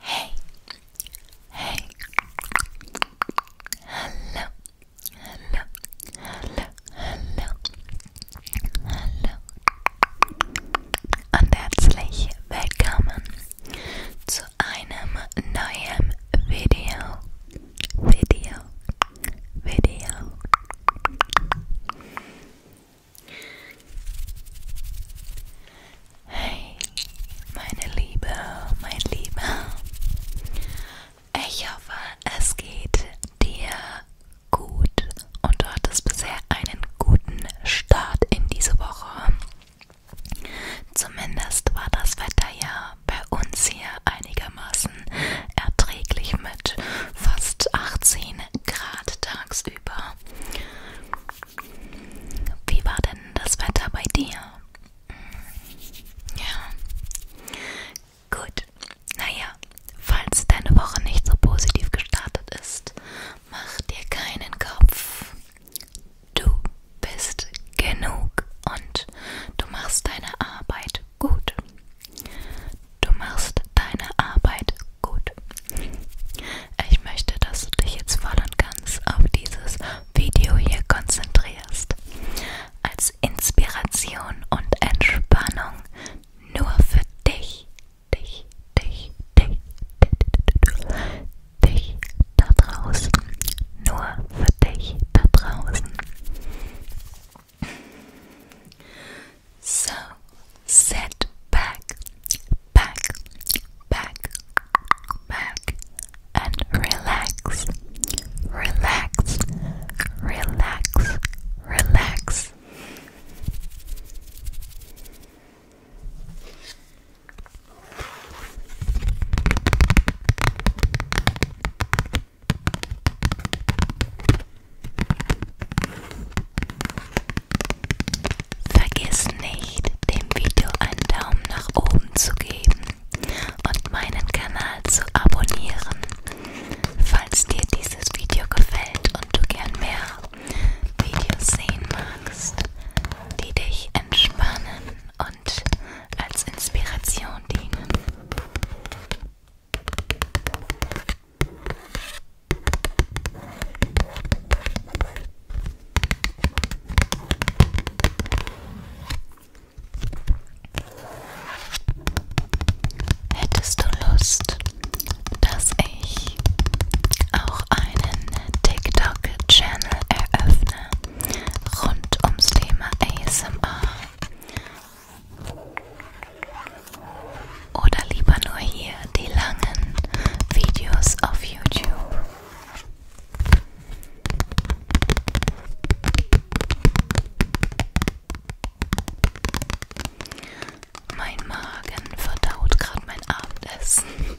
Hey, hey, hallo, hallo, hallo, hallo, hallo und herzlich willkommen zu einem neuen Video, Video, Video. Hey, meine Liebe, mein Lieber. Ich hoffe, es geht dir gut und du hattest bisher einen guten Start in diese Woche. Zumindest war das Wetter ja bei uns hier einigermaßen erträglich mit fast 18 Grad tagsüber. Wie war denn das Wetter bei dir? Ja. Gut. Naja, falls deine Woche nicht so positiv gestartet ist, mach dir keinen Kopf. Du bist genug und du machst deine Arbeit gut. Du machst deine Arbeit gut. Ich möchte, dass du dich jetzt voll und ganz auf dieses Video hier konzentrierst. Als Inspiration und Entspannung nur für dich. Dich, dich, dich, dich, dich da draußen. Nur für dich da draußen. So, set back, back, back, back, and relax, relax, relax, relax. Vergiss nicht, dem Video einen Daumen nach oben zu geben und meinen Kanal zu abonnieren. Falls dir dieses Video gefällt und du gern mehr Videos sehen magst, die dich entspannen und als Inspiration dienen. Hättest du Lust, dass ich auch einen TikTok-Channel eröffne rund ums Thema ASMR? Oder lieber nur hier die langen Videos auf YouTube? Mein Magen verdaut gerade mein Abendessen.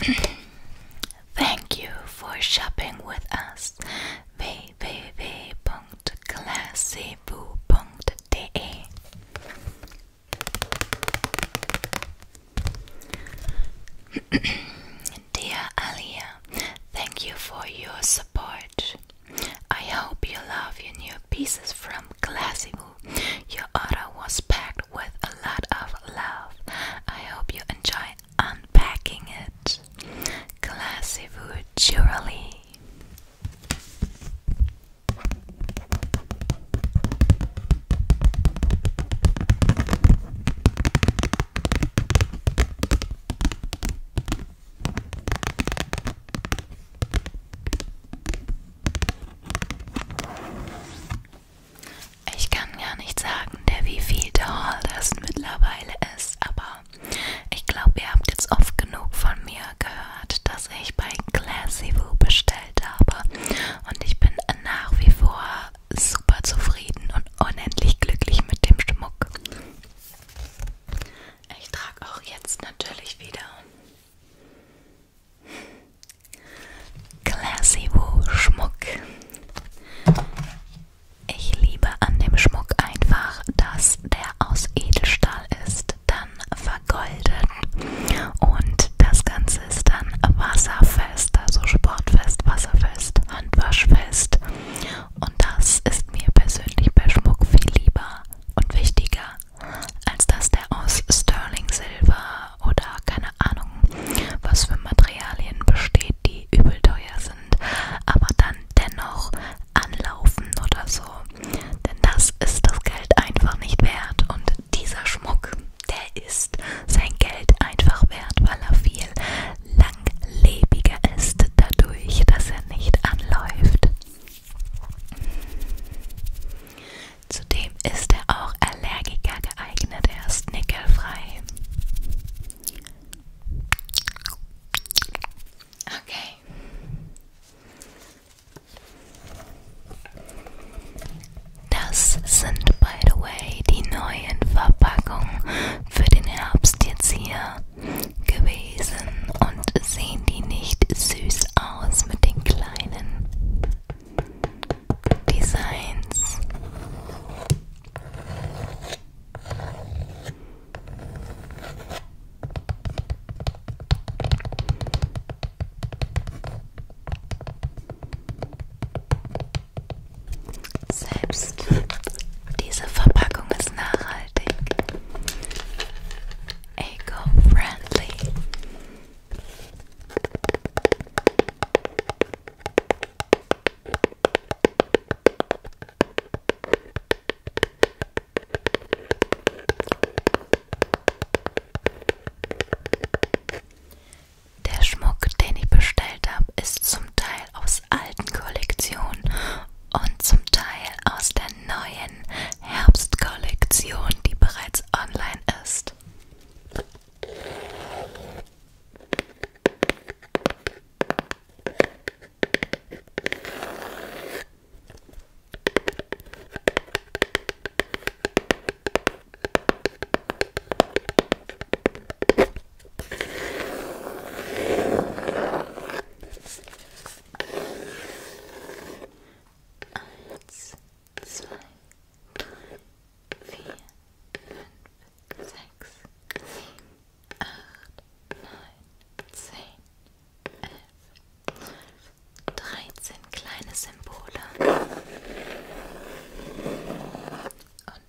Thank you for shopping with us. www.classifoo.de Dear Alia, thank you for your support. I hope you love your new pieces from Classimu. Your order was packed with a lot of love. I hope you enjoy unpacking it. Classimu Jewelry. Ich kann gar nicht sagen, der wie viel der Haul das mittlerweile ist, aber ich glaube, ihr habt jetzt oft genug von mir gehört, dass ich bei Classy Woo bestellt habe und ich bin nach wie vor super zufrieden und unendlich glücklich mit dem Schmuck. Ich trage auch jetzt natürlich wieder Classy Woo Schmuck. Ich liebe an dem Schmuck einfach, dass der aus Edelstahl ist, dann vergoldet und das Ganze ist dann wasserfest. Feste, so Sportfest, Wasserfest, Handwaschfest. Und das ist mir persönlich bei Schmuck viel lieber und wichtiger, als dass der aus Sterling Silber oder keine Ahnung, was für Materialien besteht, die übel teuer sind, aber dann dennoch anlaufen oder so. Denn das ist das Geld einfach nicht wert und dieser Schmuck, der ist ist sein Geld einfach wert, weil er viel langlebiger ist, dadurch, dass er nicht anläuft. Zudem ist er auch Allergiker geeignet, er ist nickelfrei. Okay. Das sind, by the way, die neuen Verpackungen für den Herbst jetzt hier gewesen und sehen die nicht süß aus mit den kleinen Designs. Selbst diese Verpackung ist nachhaltig. Eco-friendly. Der Schmuck, den ich bestellt habe, ist zum Teil aus alten Kollektionen und zum Teil aus der neuen Herbstkollektion, die bereits online ist. Eins, zwei, drei, vier, fünf, sechs, sieben, acht, neun, zehn, elf, zwölf, dreizehn kleine Symbole und ein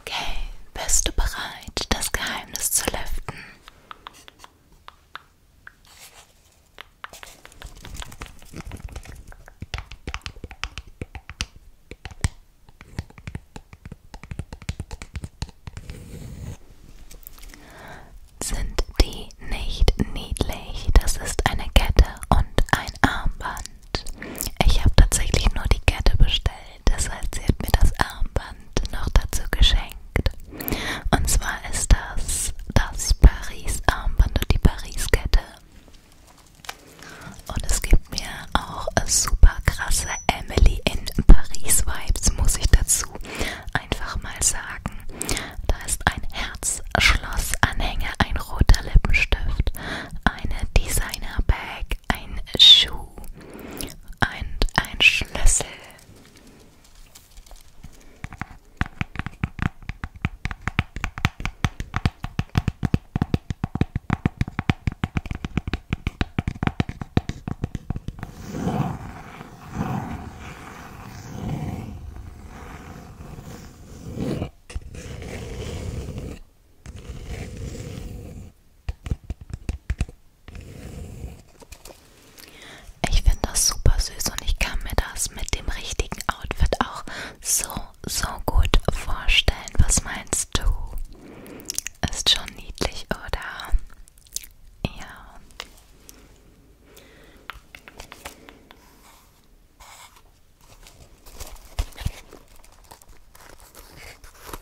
Okay, bist du bereit, das Geheimnis zu lüften? Sind die nicht niedlich? Das ist eine Kette und ein Armband ich habe tatsächlich nur die Kette bestellt. Das heißt, sie hat mir das Armband noch dazu geschenkt. Und zwar ist das das Paris-Armband und die Paris-Kette. Und es gibt mir auch super krasse Emily in Paris-Vibes, muss ich dazu einfach mal sagen. Da ist ein Herzschlossanhänger, ein roter Lippenstift, eine Designer-Bag, ein Schuh und ein Schlüssel. Ich finde das super süß und ich kann mir das mit dem richtigen Outfit auch so, so gut vorstellen. Was meinst du? Ist schon niedlich, oder? Ja.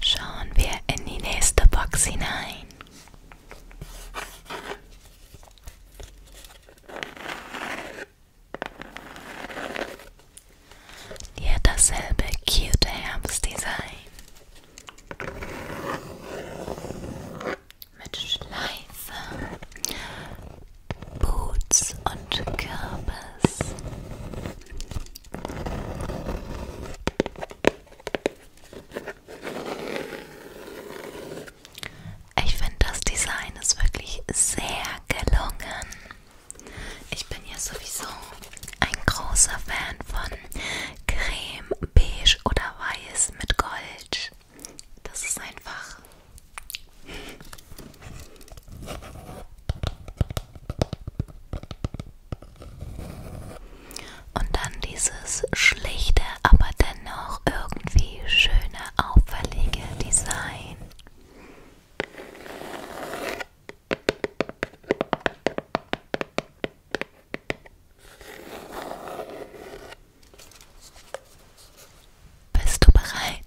Schauen wir in die nächste Box hinein. Die hat dasselbe cute Herbstdesign. Mit Schleife, Boots und Kürbis. Ich finde, das Design ist wirklich sehr gelungen. Ich bin ja sowieso ein großer Fan von Creme, Beige oder Weiß mit Gold. Das ist einfach. Und dann dieses schlichte, aber dennoch irgendwie schöne, auffällige Design. Bist du bereit?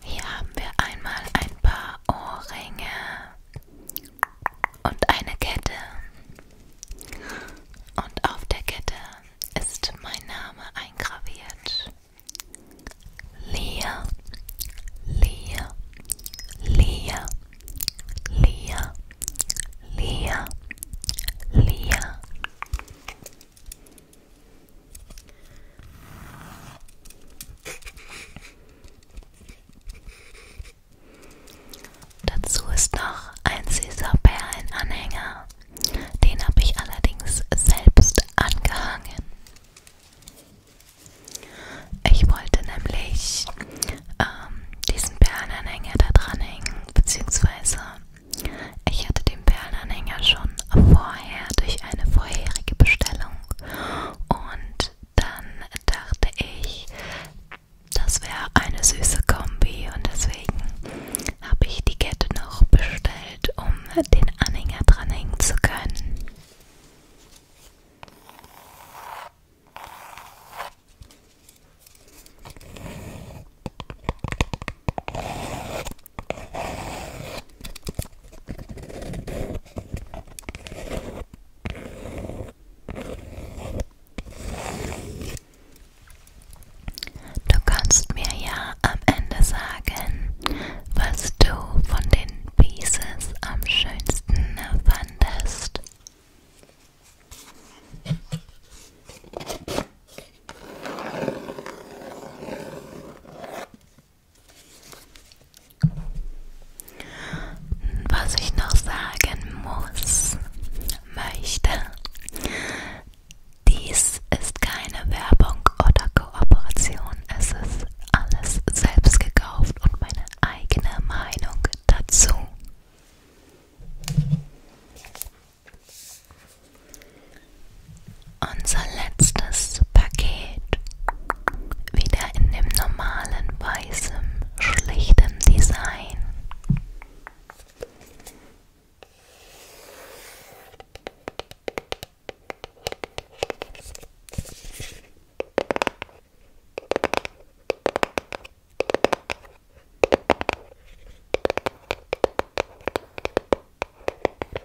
Hier haben wir einmal ein paar Ohrringe und eine Kette. Und auf der Kette ist mein Name eingraviert. Lia, Lia, Lia, Lia, Lia, Lia. Dazu ist noch ein Caesar Perlenanhänger. Den habe ich allerdings selbst angehangen. Ich wollte nämlich ähm, diesen Perlenanhänger da dranhängen, beziehungsweise ich hatte den Perlenanhänger schon vorher durch eine vorherige Bestellung und dann dachte ich, das wäre eine süße Kombi und deswegen habe ich die Kette noch bestellt, um den Anhänger dranhängen zu können. Du kannst mir ja am Ende sagen, was du von den Pieces am schönsten fandest. Was ich noch sagen muss, möchte, dies ist keine Werbung oder Kooperation. Es ist alles selbst gekauft und meine eigene Meinung dazu. Unser letztes Paket wieder in dem normalen weißen, schlichten Design.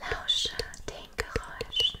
Lausche den Geräuschen.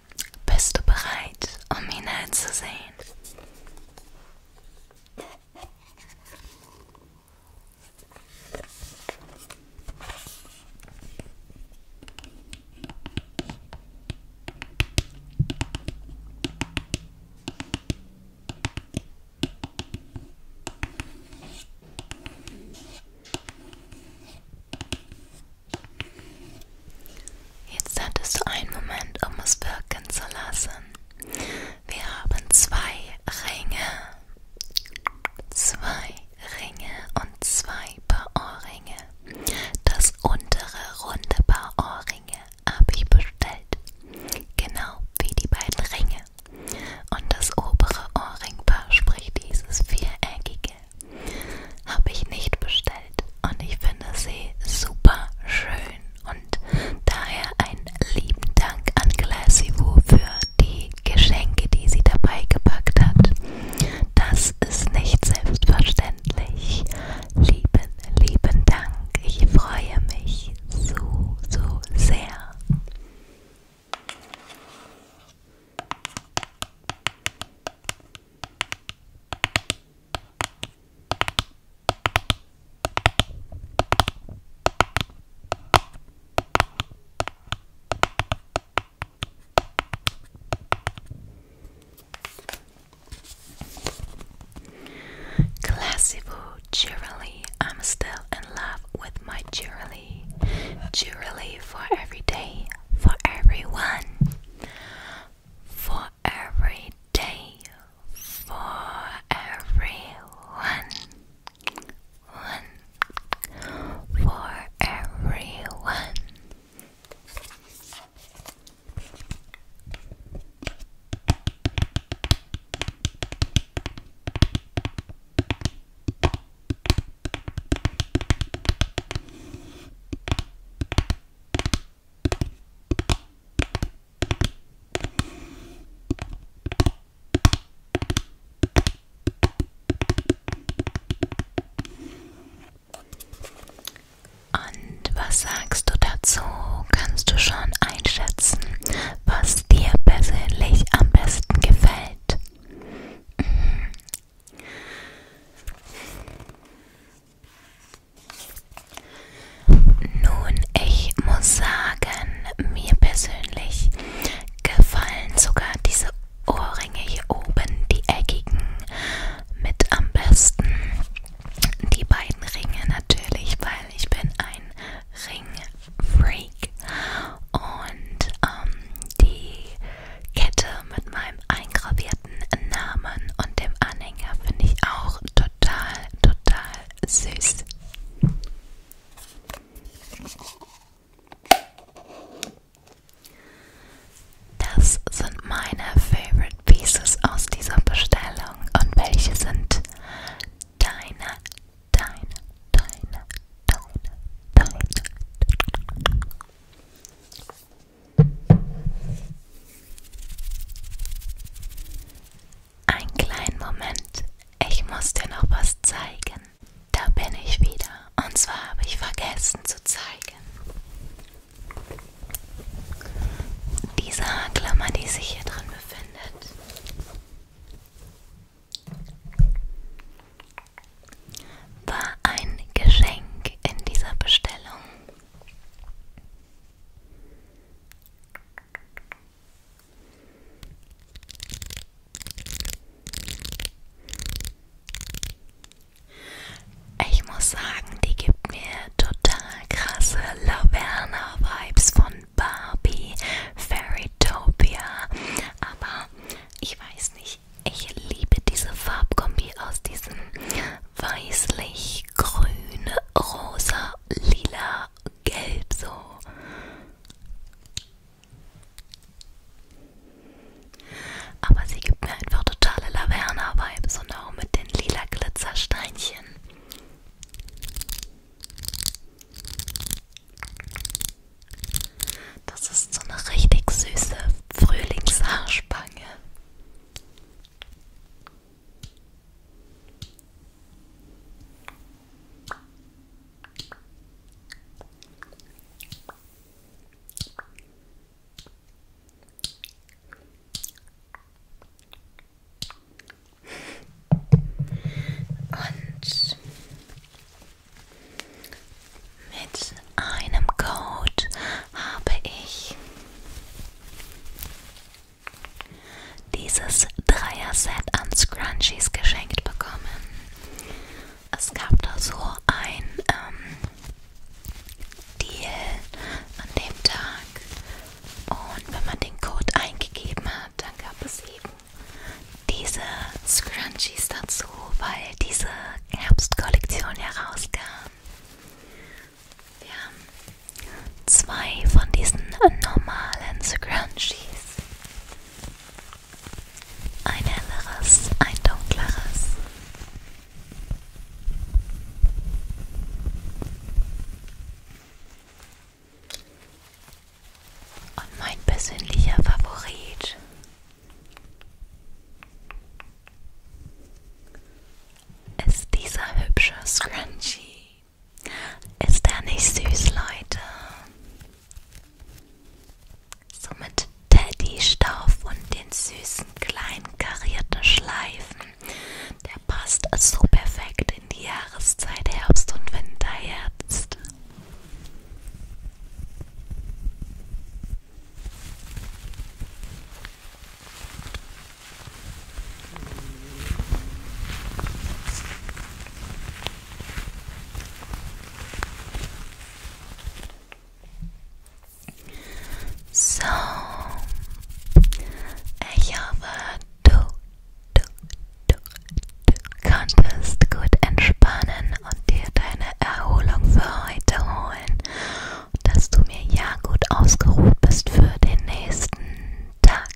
Bist du bereit, um ihn zu sehen? Jetzt hattest du einen Moment, um es wirken zu lassen. Wir haben zwei Ringe. Zwei Ringe und zwei Paar Ohrringe. Das untere runde Paar Ohrringe habe ich bestellt. Genau wie die beiden Ringe. Und das obere Ohrringpaar, sprich dieses viereckige, habe ich nicht bestellt und ich finde sie super schön und daher einen lieben Dank an Glassivo für die Geschenke, die sie dabei gepackt hat. Das ist nicht selbstverständlich. Lieben, lieben Dank. Ich freue mich so, so sehr. Classivo cheerily, I'm still in love with my cheerily. Cheerily for every day, for everyone for every day, for everyone, one, for everyone. Und was sagst du dazu? Kannst du schon einschätzen, was dir persönlich am besten gefällt? Mhm. Nun, ich muss sagen, mir persönlich gefallen sogar diese Ohrringe hier oben, die eckigen, mit am besten. Die beiden Ringe natürlich, weil ich bin ein Ringfreak und ähm, die Kette mit meinem eingravierten Namen und dem Anhänger finde ich auch total, total süß. Das sind meine Favorite Pieces aus dieser Bestellung. Und welche sind deine, deine, deine, deine, deine? Ein kleinen Moment, ich muss dir noch was zeigen. Da bin ich wieder. Und zwar habe ich vergessen zu zeigen. Diese Haarklammer, die sich hier drin befindet. War ein Geschenk in dieser Bestellung. Ich muss sagen, die gibt mir total krasse Laverna-Vibes von Barbie, Fairytopia. Aber ich weiß nicht ich, ich liebe diese Farbkombi aus diesem weißlich, grün, rosa, lila, gelb so. Aber sie gibt mir einfach totale Laverna-Vibes und auch mit den lila Glitzersteinchen. Das ist so eine richtig süße Frühlingshaarspange. Und mit einem Code habe ich dieses Dreier-Set an Scrunchies geschenkt bekommen. Es gab da so ein ähm, Deal an dem Tag und wenn man den Code eingegeben hat, dann gab es eben diese Scrunchies dazu, weil diese Herbstkollektion herauskam. Wir haben zwei von diesen normalen Scrunchies. Ein helleres, ein dunkleres. Und mein persönlicher Favorit ist dieser hübsche Scrunchie? Ist er nicht süß, Leute? So mit Teddy-Stauf und den süßen kleinen karierten Schleifen. Der passt so perfekt in die Jahreszeit Herbst und Winter jetzt. So, ich hoffe, du, du, du, du konntest gut entspannen und dir deine Erholung für heute holen dass du mir ja gut ausgeruht bist für den nächsten Tag.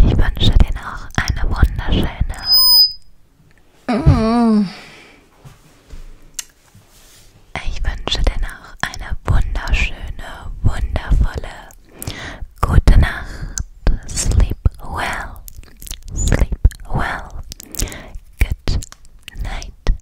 Ich wünsche dir noch eine wunderschöne. Ich wünsche dir noch eine wunderschöne, wundervolle gute Nacht. Sleep well. Sleep well. Good night.